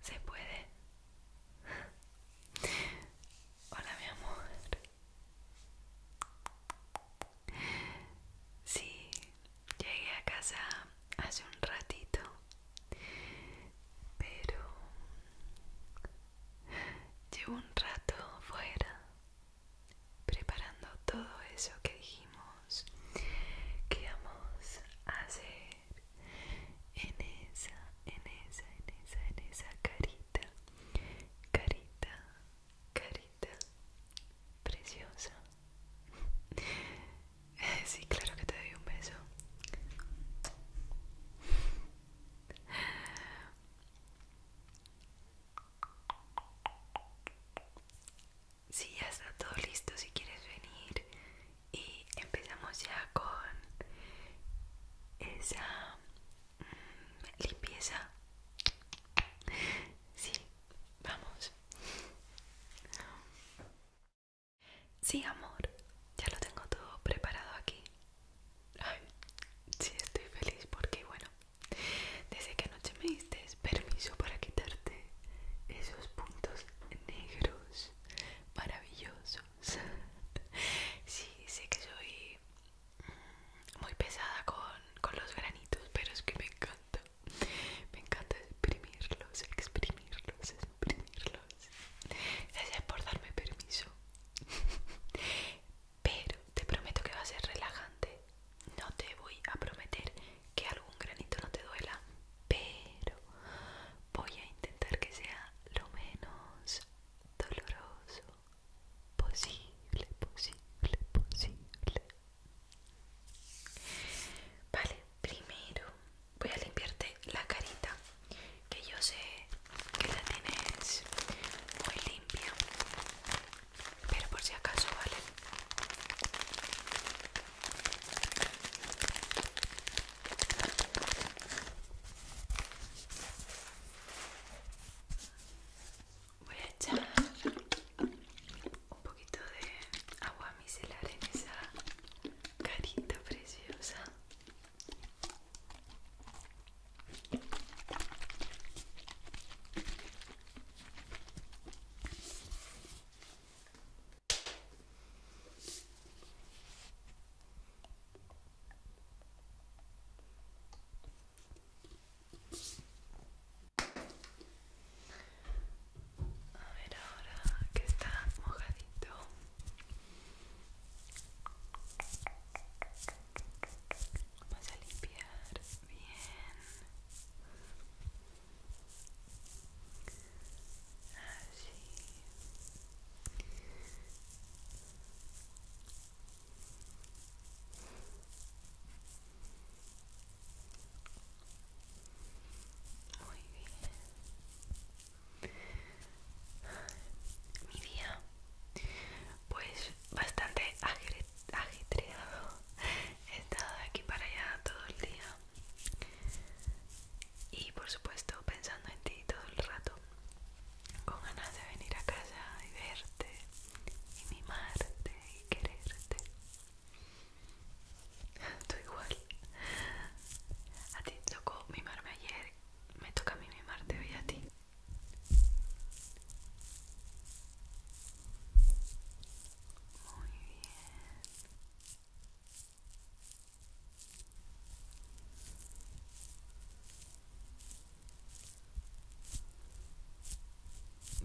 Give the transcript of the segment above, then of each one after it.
Se puede. Hola, mi amor. Sí, llegué a casa hace un ratito, pero llevo un rato fuera preparando todo eso que dijimos que íbamos a hacer en esa, en esa, en esa, en esa carita, carita, carita preciosa. Sí, claro que te doy un beso. Sí, ya está todo listo. Si quieres venir y empezamos ya con esa mm, limpieza sí vamos sí amor ya lo tengo todo preparado aquí sí estoy feliz porque bueno desde que anoche me diste permiso para quitarte esos puntos negros maravillosos. sí, sé que soy muy pesada con, los granitos, pero es que me encanta. Me encanta exprimirlos, exprimirlos, exprimirlos. Gracias por darme permiso. Pero te prometo que va a ser relajante. No te voy a prometer que algún granito no te duela, pero voy a intentar que sea lo menos doloroso posible, posible, posible. Vale, primero voy a limpiarte la carita, que yo sé que la tienes muy limpia, pero por si acaso, ¿vale? Voy a echar un poquito de agua micelar en esa carita preciosa. A ver ahora que está mojadito. Vamos a limpiar bien. Muy bien. Mi día, pues bastante agitado He estado de aquí para allá todo el día y por supuesto pensando en ti todo el rato con ganas de venir a casa y verte y mimarte y quererte tú igual a ti tocó mimarme ayer me toca a mí mimarte hoy a ti muy bien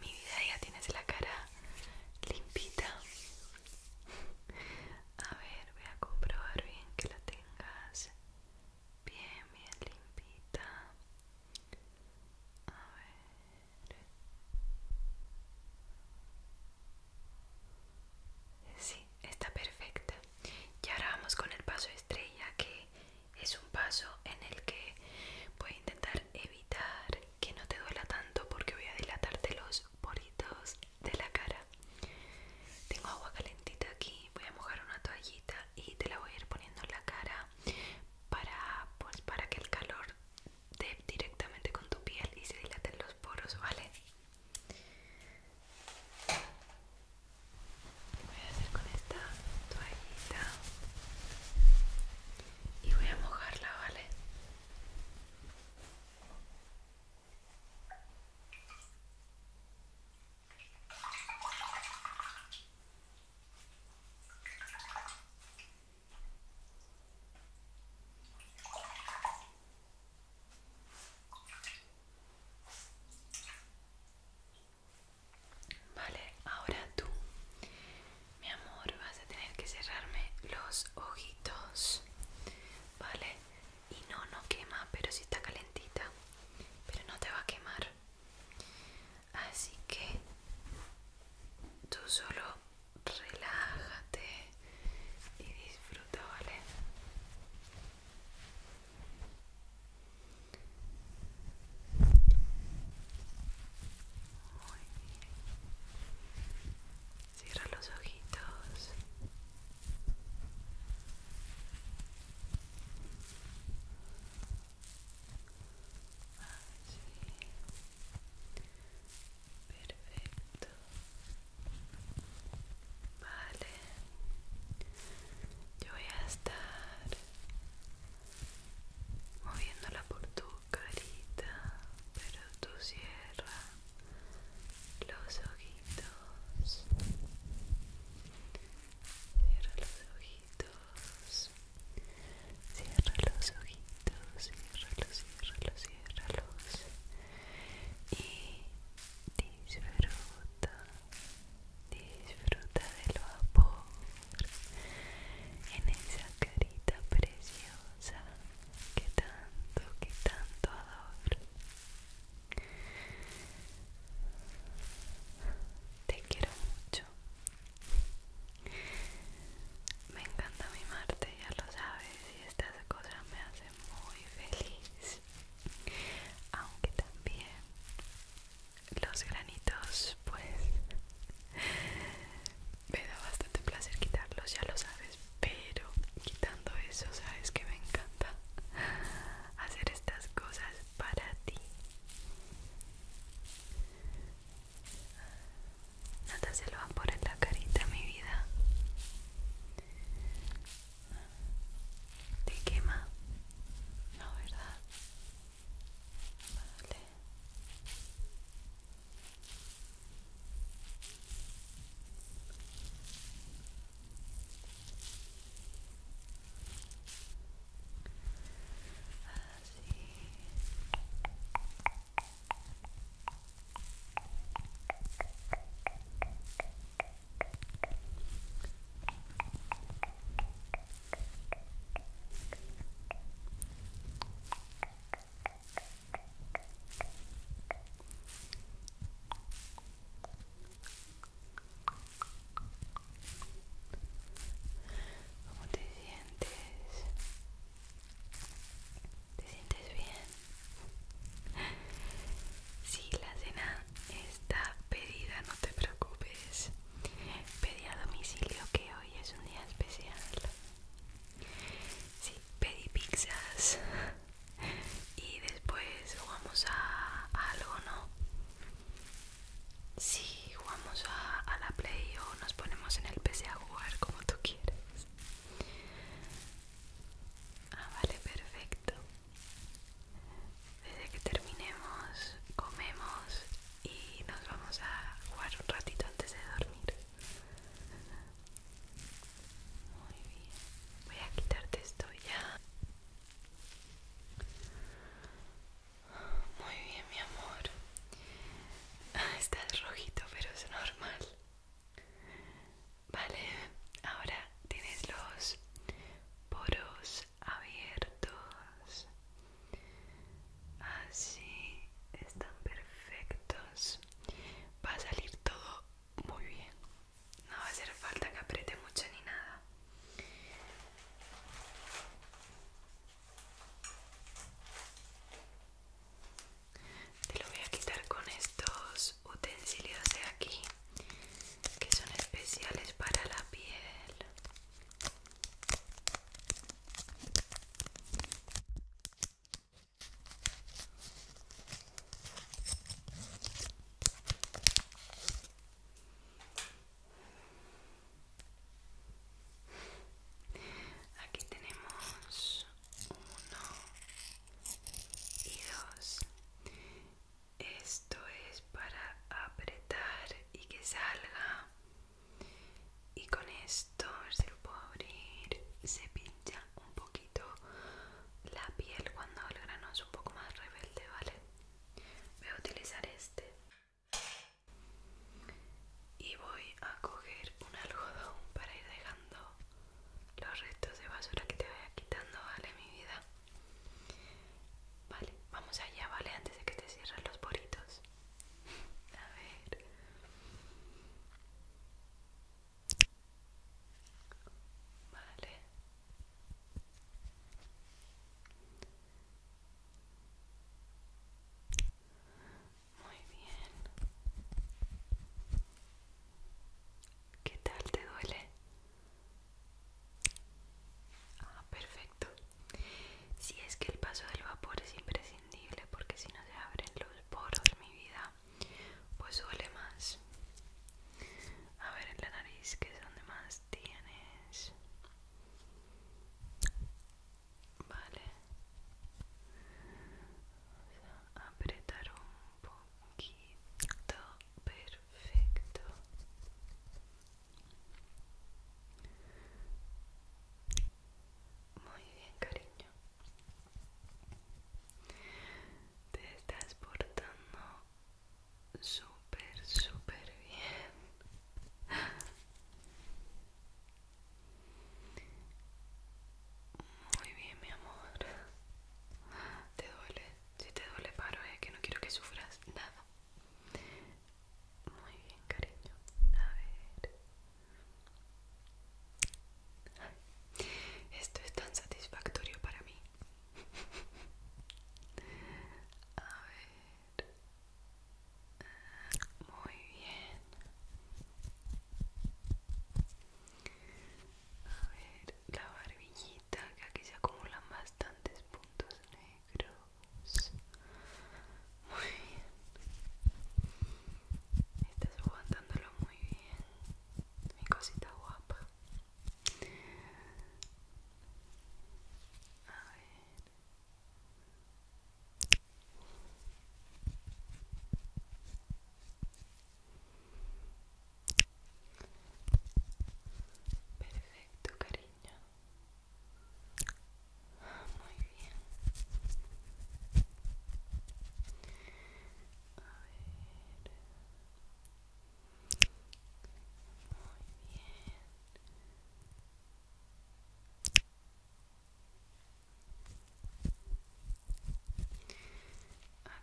mi vida ya tienes la cara limpita. A ver, voy a comprobar bien que la tengas bien, bien limpita. A ver. Sí, está perfecta. Y ahora vamos con el paso estrella, que es un paso en el que voy a intentar evitar que no te duela tanto porque voy a dilatarte los poritos de la cara. Tengo agua calentita aquí, voy a mojar una toallita y te la voy a ir poniendo en la cara para pues, para que el calor de, directamente con tu piel y se dilaten los poros, ¿vale? Voy a hacer con esta toallita y voy a mojarla, ¿vale? Vale, ahora tú, mi amor, vas a tener que cerrarme los ojitos, ¿vale? Y no, no quema, pero si está calentita, pero no te va a quemar. Así que tú solo relájate y disfruta, ¿vale? Cierra los ojitos. Perfecto. Vale. Yo voy a estar moviéndola por tu carita, pero tú cierra los ojitos. Cierra los ojitos. Cierra los ojitos, los, cierra los Y disfruta, disfruta del vapor en esa carita preciosa que tanto, que tanto adoro. Te quiero mucho. Me encanta mi Marte, ya lo sabes, y estas cosas me hacen muy feliz. Aunque también los granitos, pues me da bastante placer quitarlos, ya lo sabes, pero quitando eso, sabes que me encanta hacer estas cosas para ti se lo va a por en la carita, mi vida. ¿Te quema? No, ¿verdad? Vale. Así. ¿Cómo te sientes? ¿Te sientes bien? Sí, la cena está pedida, no te preocupes. Pedí a domicilio que hoy es un día especial. Sí, pedí pizzas. Y después jugamos a, algo, ¿no? Sí, jugamos a, a la play o nos ponemos en el PC a jugar como tú quieres Ah, vale, perfecto. Desde que terminemos, comemos y nos vamos a jugar un ratito antes de dormir. Muy bien. Voy a quitarte esto ya. Muy bien, mi amor. Estás rojito, pero es normal. Vale, ahora tienes los poros abiertos. Así están perfectos. Va a salir todo muy bien. No va a hacer falta que apriete mucho ni nada. Te lo voy a quitar con estos utensilios de aquí que son especiales para la piel. Aquí tenemos uno y dos. Esto es para apretar y que salga. Y con esto, se lo puedo abrir, se pincha un poquito la piel cuando el grano es un poco más rebelde, ¿vale? Voy a utilizar este y voy a coger un algodón para ir dejando los restos de basura que te vaya quitando, vale, mi vida. Vale, vamos allá, vale, antes de que te cierren los bolitos A ver. Vale. Muy bien. ¿Qué tal te duele? Ah, perfecto. Si es que el paso del vapor es imprescindible porque si no se abren los poros, mi vida, pues duele más. A ver en la nariz, que es donde más tienes vale apretar un poquito perfecto muy bien cariño te estás portando súper súper bien muy bien, mi amor. ¿Te duele? Si te duele, paro, es eh, que no quiero que sufras nada. Muy bien, cariño. A ver. Esto es tan satisfactorio para mí. A ver. Muy bien. A ver, la barbillita, que aquí se acumulan bastantes puntos negros. Muy bien. Estás aguantándolo muy bien. Mi cosita guapa. A ver. Perfecto, cariño. Muy bien. A ver. Muy bien.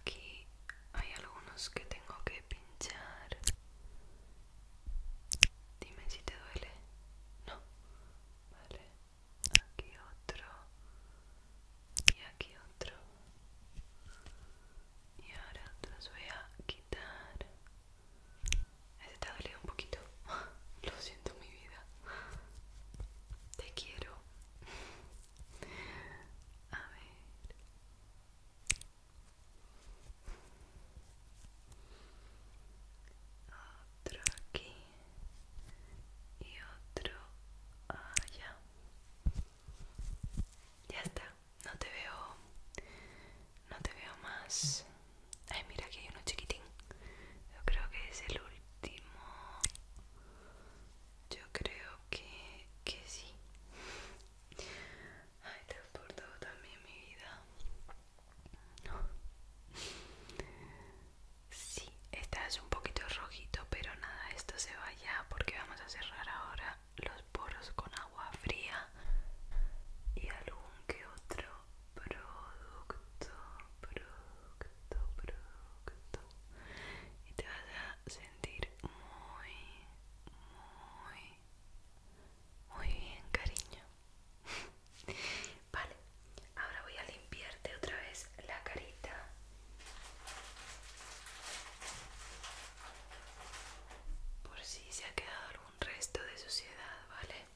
Aquí hay algunos que tengo que pinchar. Dime si te duele. No. Vale. Aquí otro. Y aquí otro. Y ahora los voy a quitar está te ha un poquito. Lo siento, mi vida. Te quiero. A ver. Otro aquí. Y otro allá. Ya está. No te veo. No te veo más Ay, mira, aquí hay uno chiquitín. Yo creo que es el último. Yo creo que, que sí. Ay, te he portado también mi vida. No Sí, esta es un poquito rojito, pero nada, esto se va ya porque vamos a cerrar ahora los poros con agua fría y algún que otro producto, producto, producto. Y te vas a sentir muy, muy, muy bien, cariño. Vale, ahora voy a limpiarte otra vez la carita. Por si se ha quedado algún resto de suciedad, ¿vale?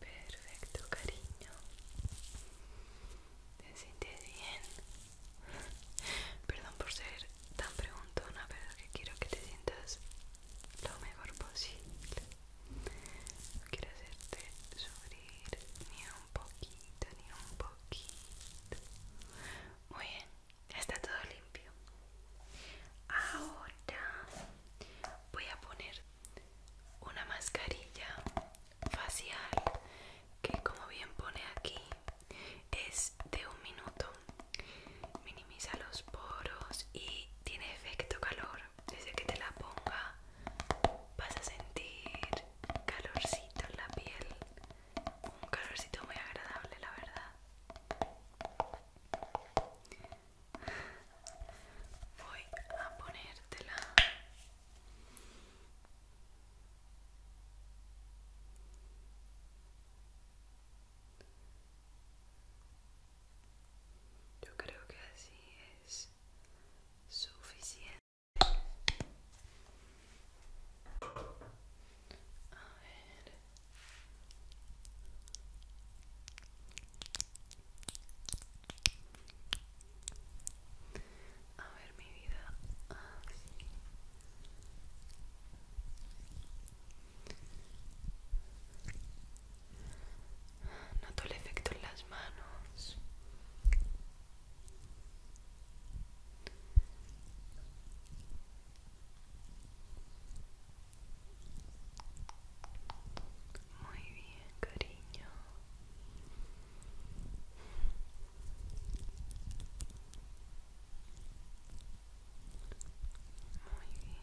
Perfecto, cariño. ¿Te sientes bien? Perdón por ser tan preguntona, pero es que quiero que te sientas lo mejor posible. No Quiero hacerte sufrir ni un poquito, ni un poquito. Muy bien está todo limpio. Ahora voy a poner una mascarilla facial que como bien pone aquí es de un minuto. Minimiza los poros y tiene efecto calor. Desde que te la ponga vas a sentir calorcito en la piel un calorcito muy agradable, la verdad. Voy a ponértela. Yo creo que así es suficiente. A ver. A ver mi vida. Ah, Noto el efecto en las manos. Muy bien, cariño. Muy bien.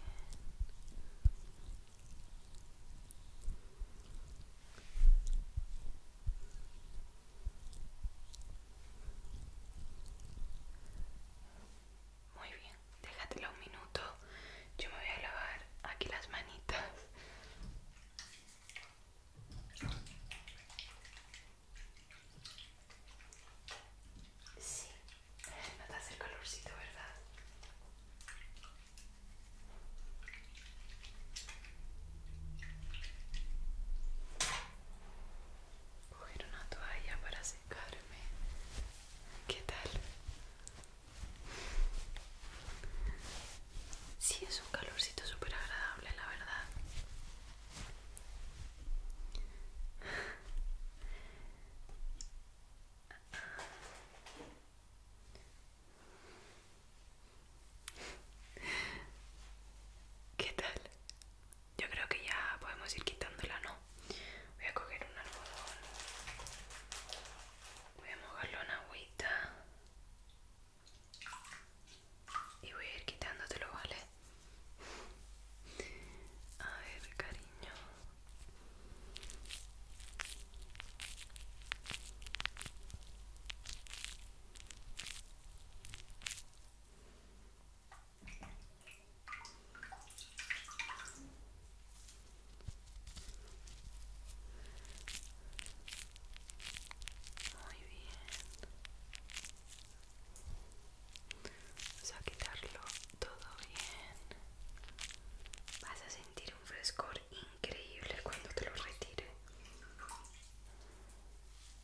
Muy bien, déjatelo un minuto. Yo me voy a lavar aquí las manitas. Sí, notas el calorcito, ¿verdad? coger una toalla para secarme. ¿Qué tal? Sí, es un calorcito súper agradable, la verdad. ¿Qué tal? yo creo que ya podemos ir quitándola, ¿no? Voy a coger un algodón, voy a mojarlo en agüita y voy a ir quitándotelo, ¿vale? A ver, cariño. Muy bien. Vamos a quitarlo todo bien. Vas a sentir un frescor increíble cuando te lo retire.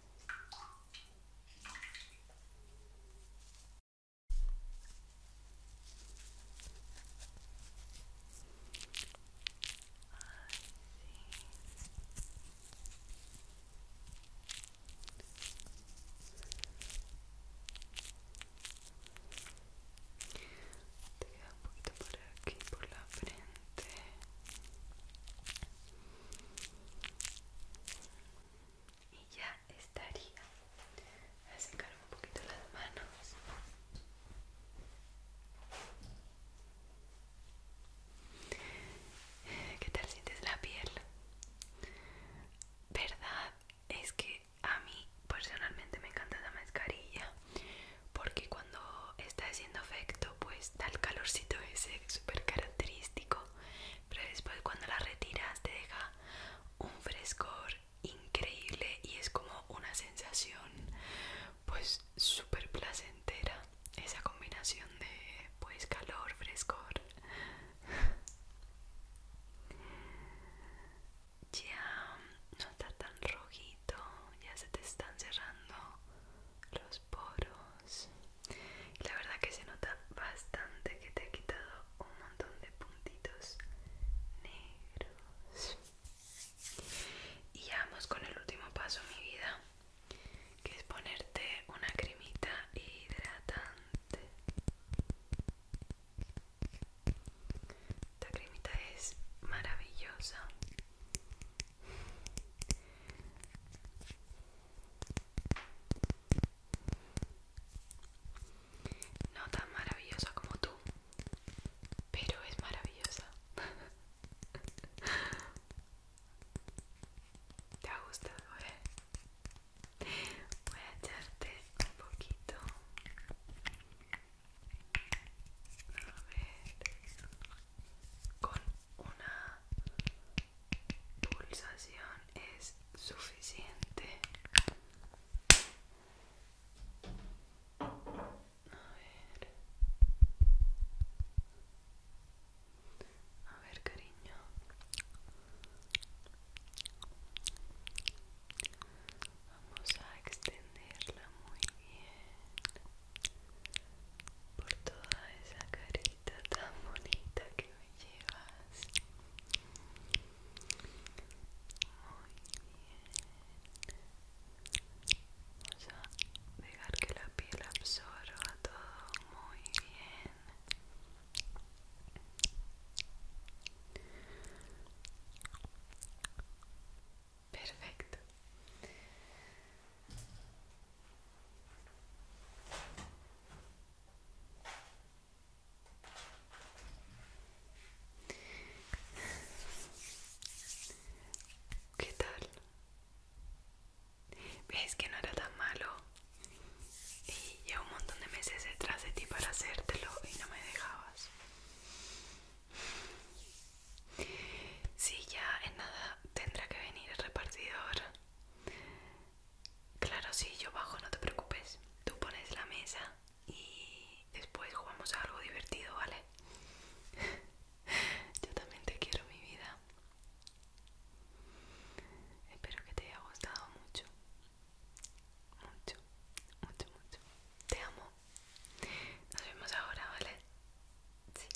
Te queda por aquí, por la frente y ya estaría. a secar un poquito las manos. ¿Qué tal sientes la piel? Verdad es que a mí personalmente me encanta la mascarilla porque cuando está haciendo efecto pues da el calorcito ese súper característico pero después cuando la retiras te deja un frescor increíble y es como una sensación pues súper placentera esa combinación de pues calor, frescor. Ya no está tan rojito, ya se te están cerrando los poros. Y La verdad que se nota bastante que te he quitado un montón de puntitos negros. Y ya vamos con el último paso, mi vida, que es ponerte una cremita hidratante. Esta cremita es maravillosa. No tan maravillosa como tú, pero es maravillosa. ¿Te gusta? gustado, eh? Voy a echarte un poquito. A ver, con una pulsación es suficiente. A ver. cariño. Vamos a extenderla muy bien por toda esa carita tan bonita que me llevas. Muy bien. Vamos a dejar que la piel absorba todo muy bien. Perfecto. ¿Qué tal? ¿Veis que no era tan malo? Y llevo un montón de meses detrás de ti para hacértelo y no me dejabas. Sí, ya en nada tendrá que venir el repartidor Claro, sí, yo bajo, no te preocupes. Tú pones la mesa y después jugamos a algo divertido, ¿vale? yo también te quiero, mi vida. Espero que te haya gustado mucho. Mucho, mucho, mucho. Te amo. Nos vemos ahora, ¿vale? Sí.